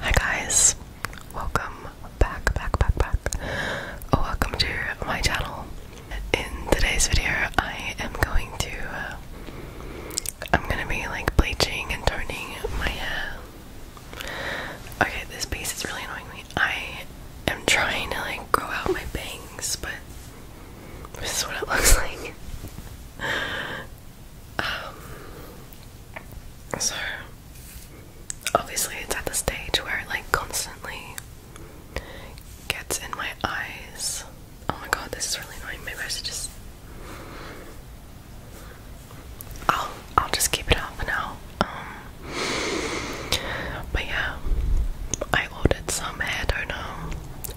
Hi guys, welcome back, back, back, back. Oh, welcome to my channel. In today's video, I am going to, uh, I'm gonna be like bleaching and turning my hair. Okay, this piece is really annoying me. I am trying to like grow out my bangs, but this is what it looks like. Um, so obviously it's at the stage where it like constantly gets in my eyes. Oh my god, this is really annoying. Maybe I just I'll I'll just keep it out for now. Um but yeah. I ordered some hair toner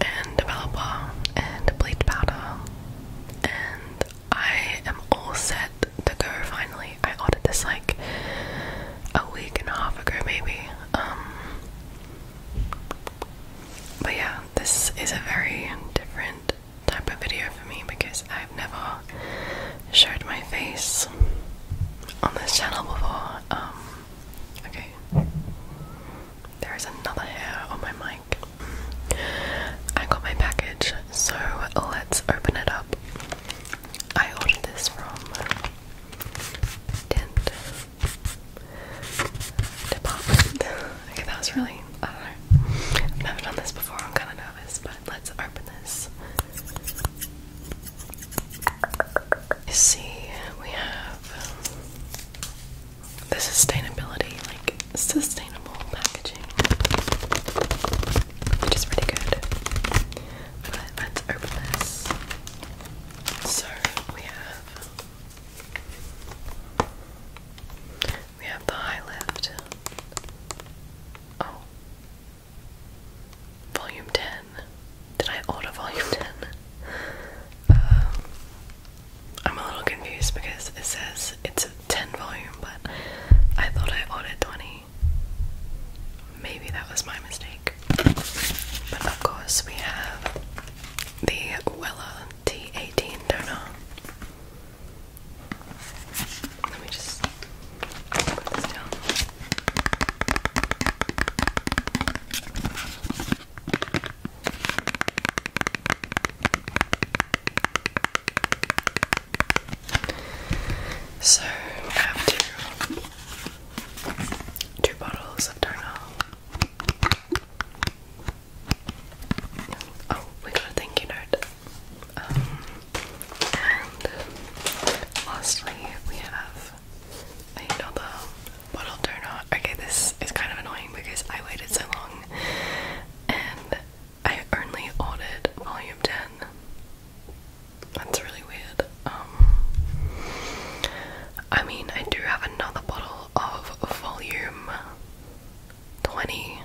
and developer and bleach powder and I am all set to go finally. I ordered this like a week and a half ago maybe. Um, but yeah, this is a very different type of video for me because I've never showed my face on this channel before. Um, okay. There is another hair on my mind. I got my package, so let's open it up. I ordered this from Dent Department. okay, that was really. I've never done this before, I'm kind of nervous, but let's open this. You see, we have the sustainability, like sustainable packaging, which is really good. let's open this. So we have we have the high lift. Oh. Volume 10. Did I order volume 10? I'm a little confused because it says it's a 10 volume, but I thought I ordered 20. Maybe that was my mistake. But of course, we have the Wella T18 toner. Let me just put this down. So we have two two bottles of Darnell. Oh, we got a thank you note. Um, and lastly, we have another bottle donut. Okay, this is kind of annoying because I waited so long and I only ordered volume 10. That's really weird. Um, I mean, I do have another bottle of volume 20,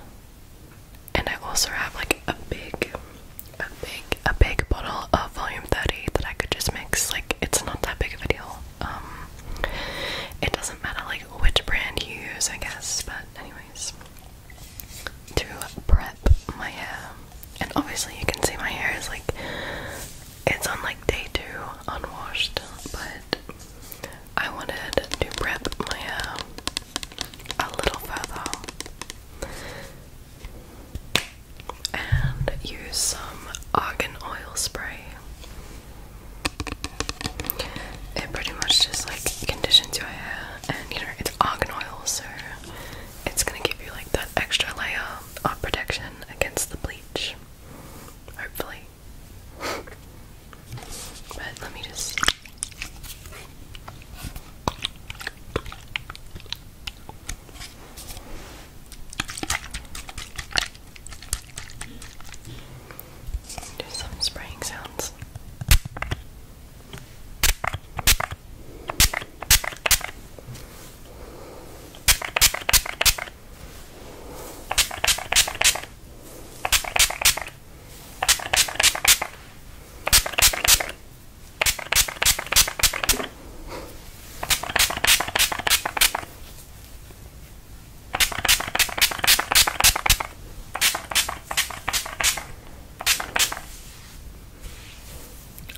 and I also have like a big, a big, a big bottle of volume 30 that I could just mix. Like, it's not that big of a deal. Um, it doesn't matter like which brand you use, I guess, but that. Anyways, to prep my hair, and obviously you can see my hair is like it's on like day two, unwashed, but I wanted to prep my hair a little further and use some argan oil spray it pretty much just like conditions your hair, and you know, it's argan oil, so it's gonna give you like that extra layer of protection against the bleach, hopefully. but let me just do some spraying sounds.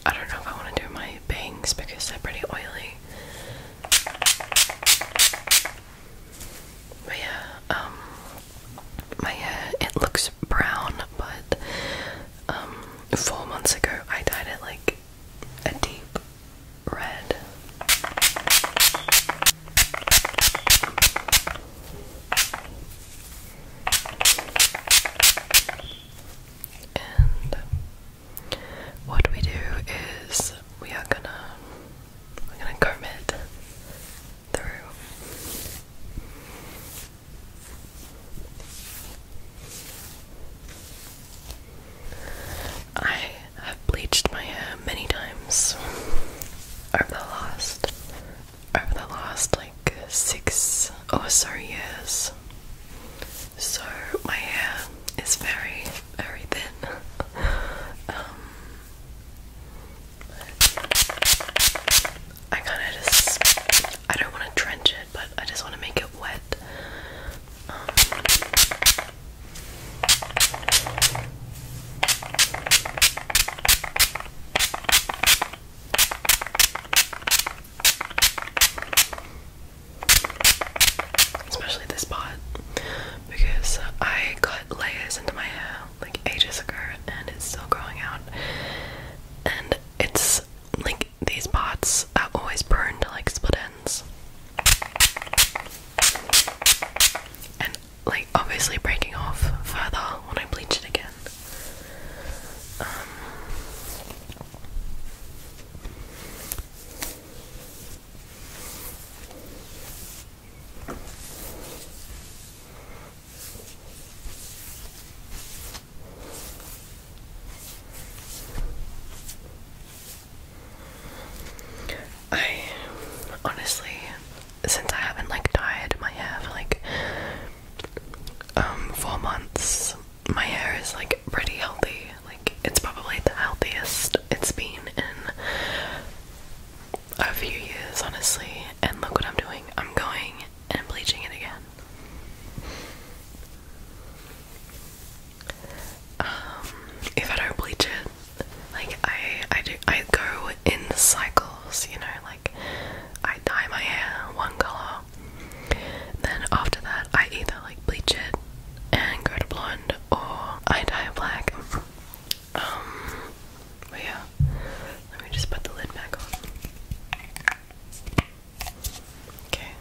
I don't know if I want to do my bangs because they're pretty oily. But yeah, um, my hair, it looks brown, but um, four months ago I dyed it like a deep red. And what we do is we are gonna we're gonna comb through. I I've bleached my hair many times over the last over the last like six oh sorry years. So my hair is very, very thin. Um, I kind of just I don't want to drench it, but I just want to make it wet. Um, Especially this pot because I cut layers into my hair like ages ago and it's still growing out. And it's like these pots are always prone to like split ends like obviously breaking off further when I bleach it again. I honestly, since I haven't like dyed my hair for like um, four months, my hair is like pretty healthy. Like it's probably the healthiest it's been in a few years, honestly. And look what I'm doing. I'm going and bleaching it again. Um, if I don't bleach it, like I I do I go in cycles, you know, like I dye my hair one color. Then after that I either like bleach it and go to blonde or I dye it black. Um yeah. Let me just put the lid back on. Okay.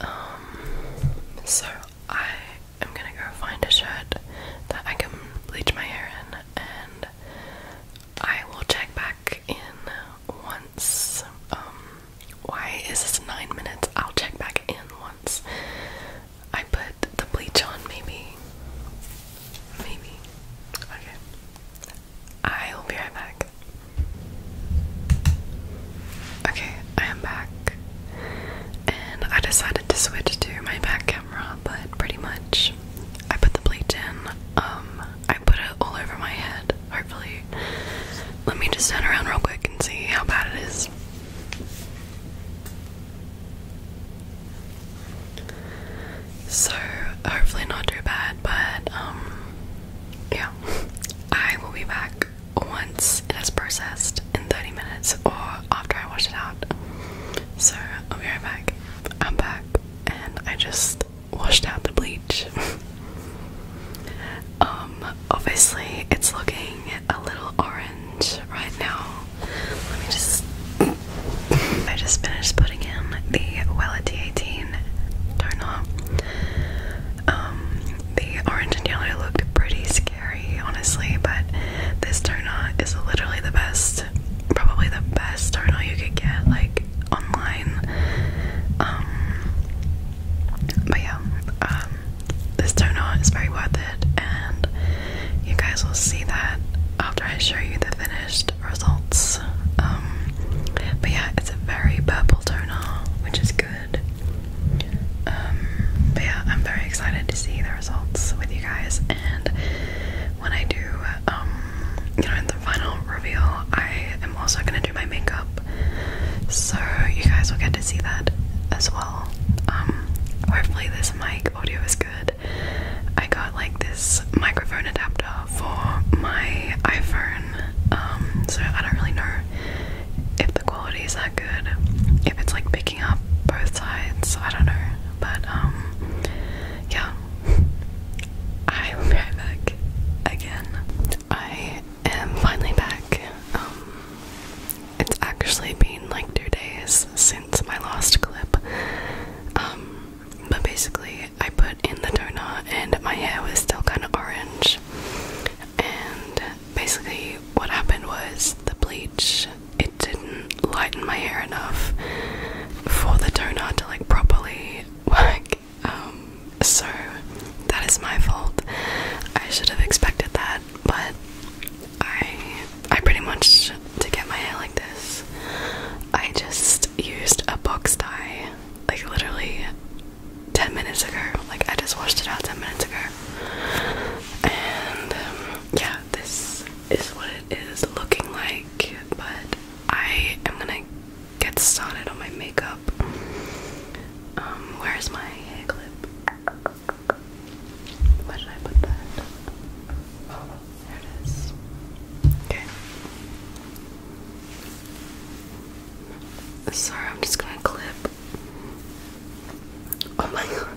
Um so I I'm gonna go find a shirt that I can bleach my hair in, and I will check back in once. Um, why is this nine minutes? I'll check back in once I put the bleach on, maybe. Maybe. Okay. I will be right back. Okay, I am back. And I decided to switch to my back but pretty much I put the bleach in. Um, I put it all over my head, hopefully. Let me just turn around real quick and see how bad it is. So, hopefully, not too bad, but um, yeah, I will be back once once it is processed in 30 minutes or after I wash it out. So I'll be right back. I'm back and I just washed out the bleach. Um, obviously it's looking a little orange right now. Let me just I just finished putting in the Wella T18 toner. Um, the orange and yellow looked pretty scary, honestly, but this toner is literally the best, probably the best toner you could get like online. Um, but yeah, um, this toner is very worth it, and you guys will see that after I show you the finished results. Um, but yeah, it's a very purple toner, which is good. Um, but yeah, I'm very excited to see the results with you guys, and when I do, um, you know, the final reveal, I am also gonna do my makeup, so you guys will get to see that as well. Um, hopefully this mic audio is good. I got like this microphone adapter for my iPhone, um, so I don't really know if the quality is that good, if it's like big up both sides. I don't know, but um, yeah, I will be back again. I am finally back. Um, it's actually been like two days since my last clip. Um, but basically, I put in the toner and my hair was still kind of orange. And basically, what happened was the bleach it didn't lighten my hair enough for the toner to like properly work. Um, so that is my fault. I should have expected that, but I I pretty much to get my hair like this, I just used a box dye, like literally 10 minutes ago. Like I just washed it out 10 minutes ago. And um, yeah, this is what it is looking like, but I am gonna get started on my makeup. Um, where's my hair clip? Where did I put that? there it is. Okay. Sorry, I'm just gonna clip. Oh my god.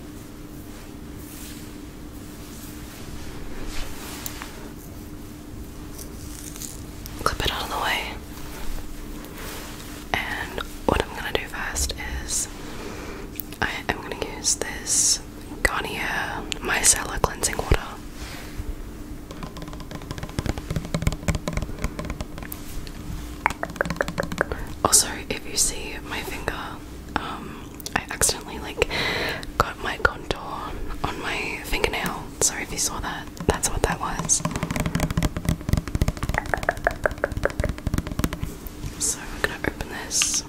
Clip it out of the way. And what I'm gonna do first is I am gonna use this Garnier Micellar Cleansing Water. Also, if you see my finger, um, I accidentally like got my contour on my fingernail. Sorry if you saw that. That's what that was. So we're gonna open this,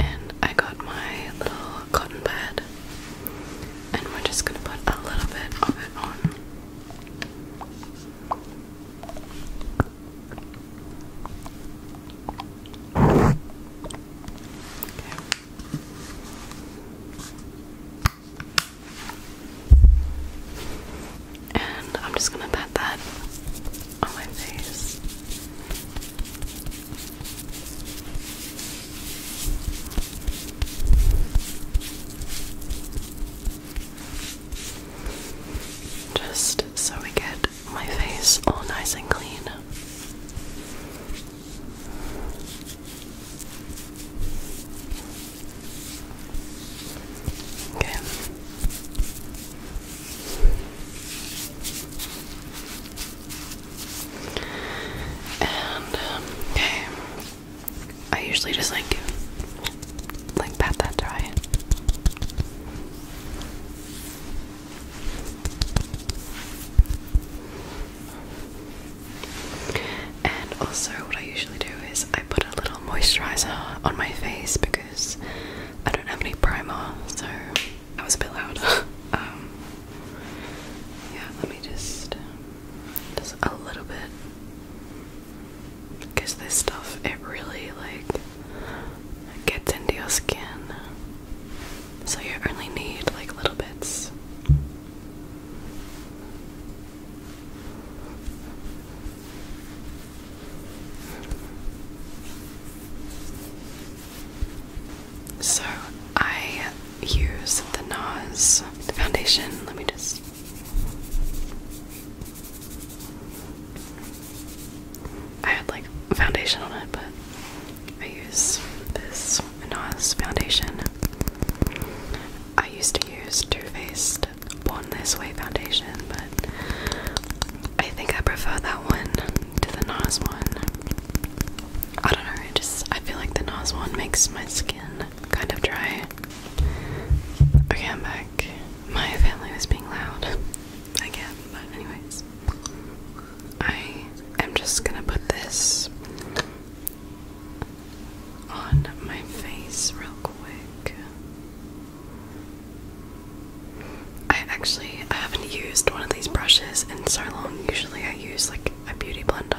and I got my little cotton pad, and we're just gonna put a little bit of it on. And I'm just gonna pat that on my face. Just so we get my face all nice and clean. Okay. And, um, okay. I usually just like like pat that dry. And also, what I usually do is I put a little moisturizer on my face because I don't have any primer, so that was a bit loud. Um, yeah, let me just just a little bit because this stuff it really like gets into your skin. So you only need like little bits. So I use the NARS foundation. Let me just I had like foundation on it, but I use this NARS foundation. I used to use Too Faced Born This Way foundation, but I think I prefer that one to the NARS one. I don't know, I just I feel like the NARS one makes my skin kind of dry. Okay, I'm back. My family was being loud again, but, anyways, I am just gonna put this on my face real quick. I actually I haven't used one of these brushes in so long. Usually I use like a beauty blender.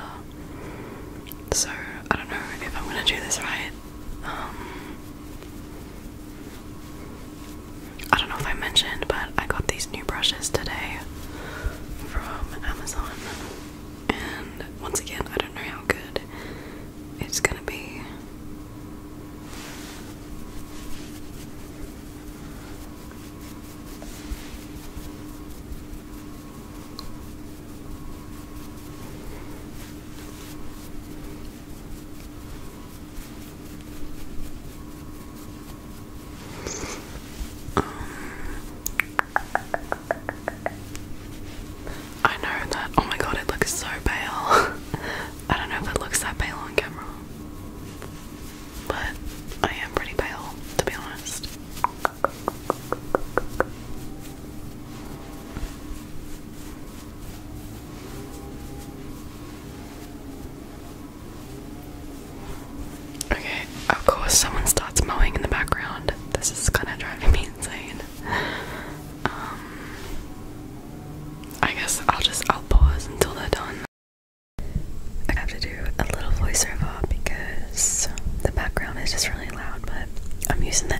So I don't know if I'm gonna do this right. Um, I don't know if I mentioned, but I got these new brushes today from Amazon. And once again, I don't know how good it's gonna be. I know that. Oh my god, it looks so pale. I don't know if it looks that pale on camera, but I am pretty pale to be honest. Okay, of course, someone starts mowing in the background. This is kind of driving me insane. Um, I guess I'll just I'll pause until they're done. I have to do a little voiceover because the background is just really loud, but I'm using the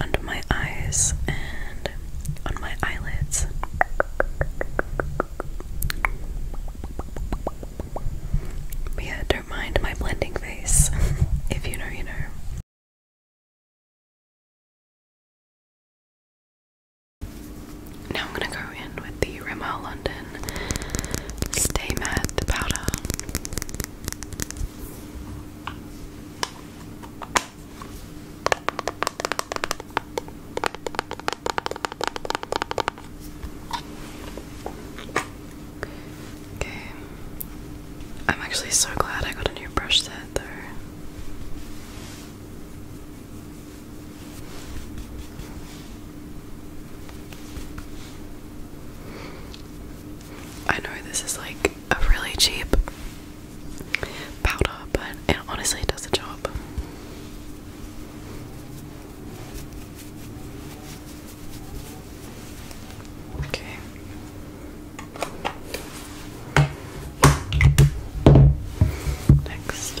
under my eyes and on my eyelids. yeah, don't mind my blending face. if you know, you know. Now I'm gonna go in with the Rimmel London Stay Matte powder. Okay. I'm actually so glad I got a new brush set though. I know this is like a really cheap powder, but it does the job. Okay. Next.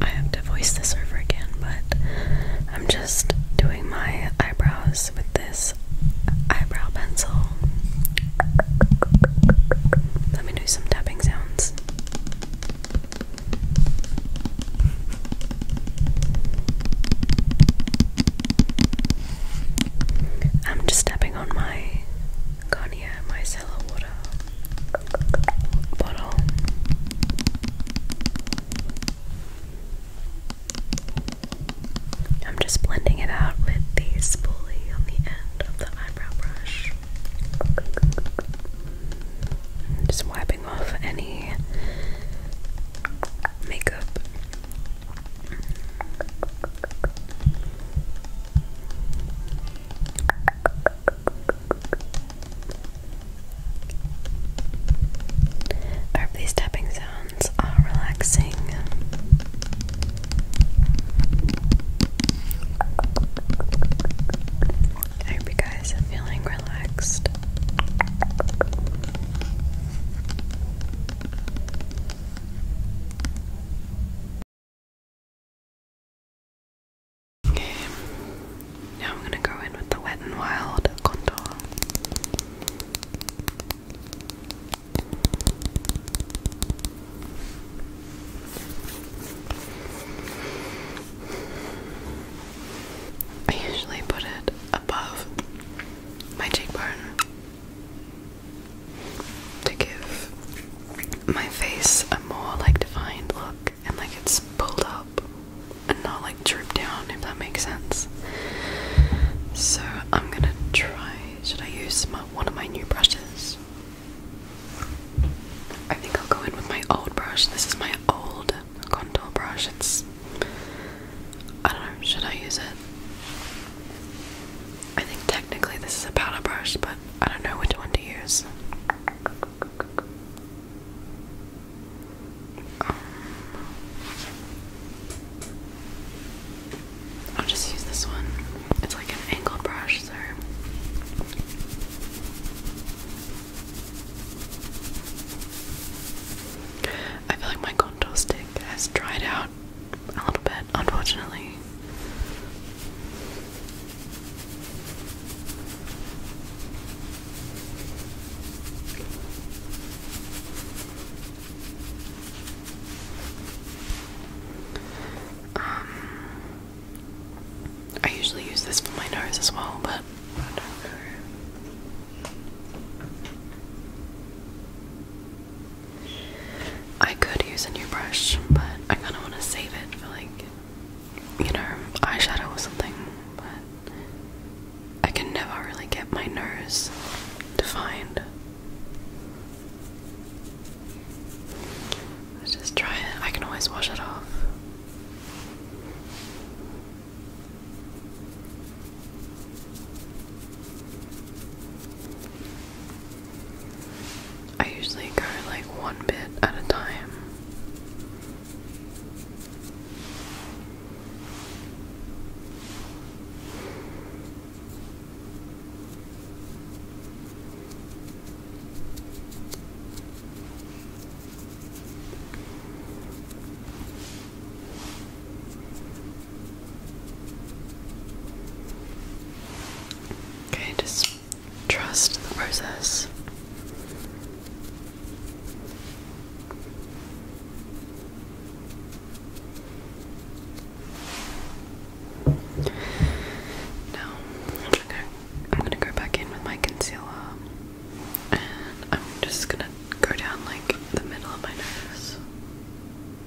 I have to voice this over again, but I'm just doing my eyebrows with this eyebrow pencil. Let me do some tapping sounds. I'm just tapping on my Garnier micellar water bottle. I'm just blending it out with the spoolie on the end of the eyebrow brush. just wiping off any makeup I hope these tapping sounds are relaxing. I hope you guys are feeling relaxed. Okay, now I'm going to go in with the Wet n Wild contour. I usually put it above my cheekbone to give my face a more like defined look and like it's pulled up and not like drooped down if that makes sense. So I'm gonna try should I use my, one of my new brushes? I think I'll go in with my old brush. This is my old contour brush. It's I don't know, should I use it? I think technically this is a powder brush, but I don't know which one to use. Um, I'll just use this one. It's like an angled brush, so. I feel like my contour stick has dried out a little bit, unfortunately. Um, I usually use this for my nose as well, but I could use a new brush, but I kind of want to save it for like, you know, eyeshadow or something. But I can never really get my nose defined. Let's just try it. I can always wash it off. I usually go like one bit at a time. Okay, just trust the process. Now, I'm gonna, go back in with my concealer and I'm just gonna go down like the middle of my nose.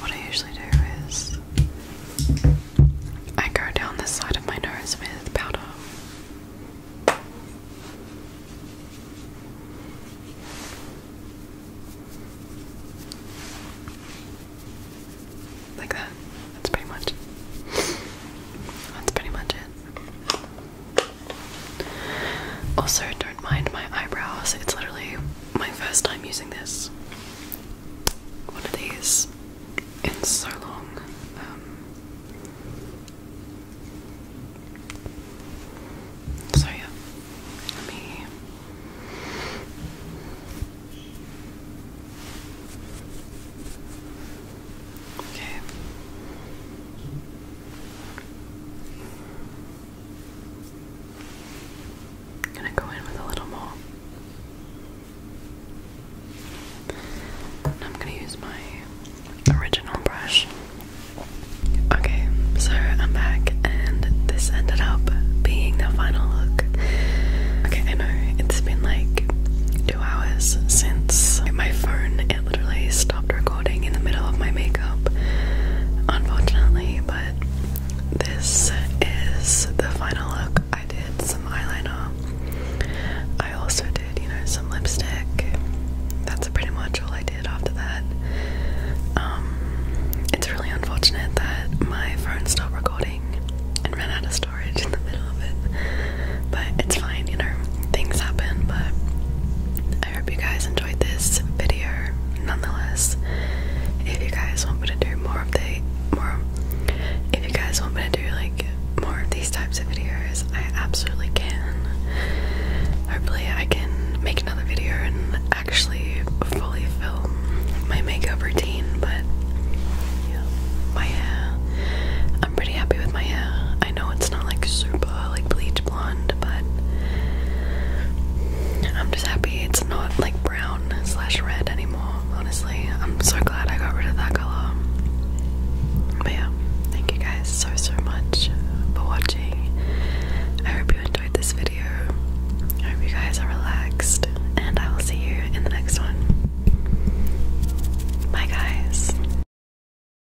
What I usually do is I go down the side of my nose with powder. Like that. That's pretty much. That's pretty much it. Also, don't mind my eyebrows. It's literally my first time using this. One of these in so long. Um, so yeah, let me. Okay. I'm gonna go in with a little more. I'm gonna use my original brush. Okay, so I'm back, and this ended up being the final look. Okay, I know it's been like two hours since my phone I literally stopped recording in the middle of my makeup, unfortunately. But this is the final look. I did some eyeliner, I also did, you know, some lipstick. That's pretty much all I did after that. Um, it's really unfortunate that my phone stopped recording and ran out of storage in the middle of it, but it's fine, you know, things happen. But I I hope you guys enjoyed this video nonetheless. If you guys want me to do more of the more if you guys want me to do like more of these types of videos, I absolutely can. Hopefully I can make another video and actually fully film my makeup routine, but yeah, my I'm pretty happy with my hair. I know it's not like super like bleach blonde, but I'm just happy it's not like brown slash red anymore. Honestly, I'm so glad I got rid of that color. But yeah, thank you guys so so much for watching. I hope you enjoyed this video. I hope you guys are relaxed, and I will see you in the next one. Bye, guys.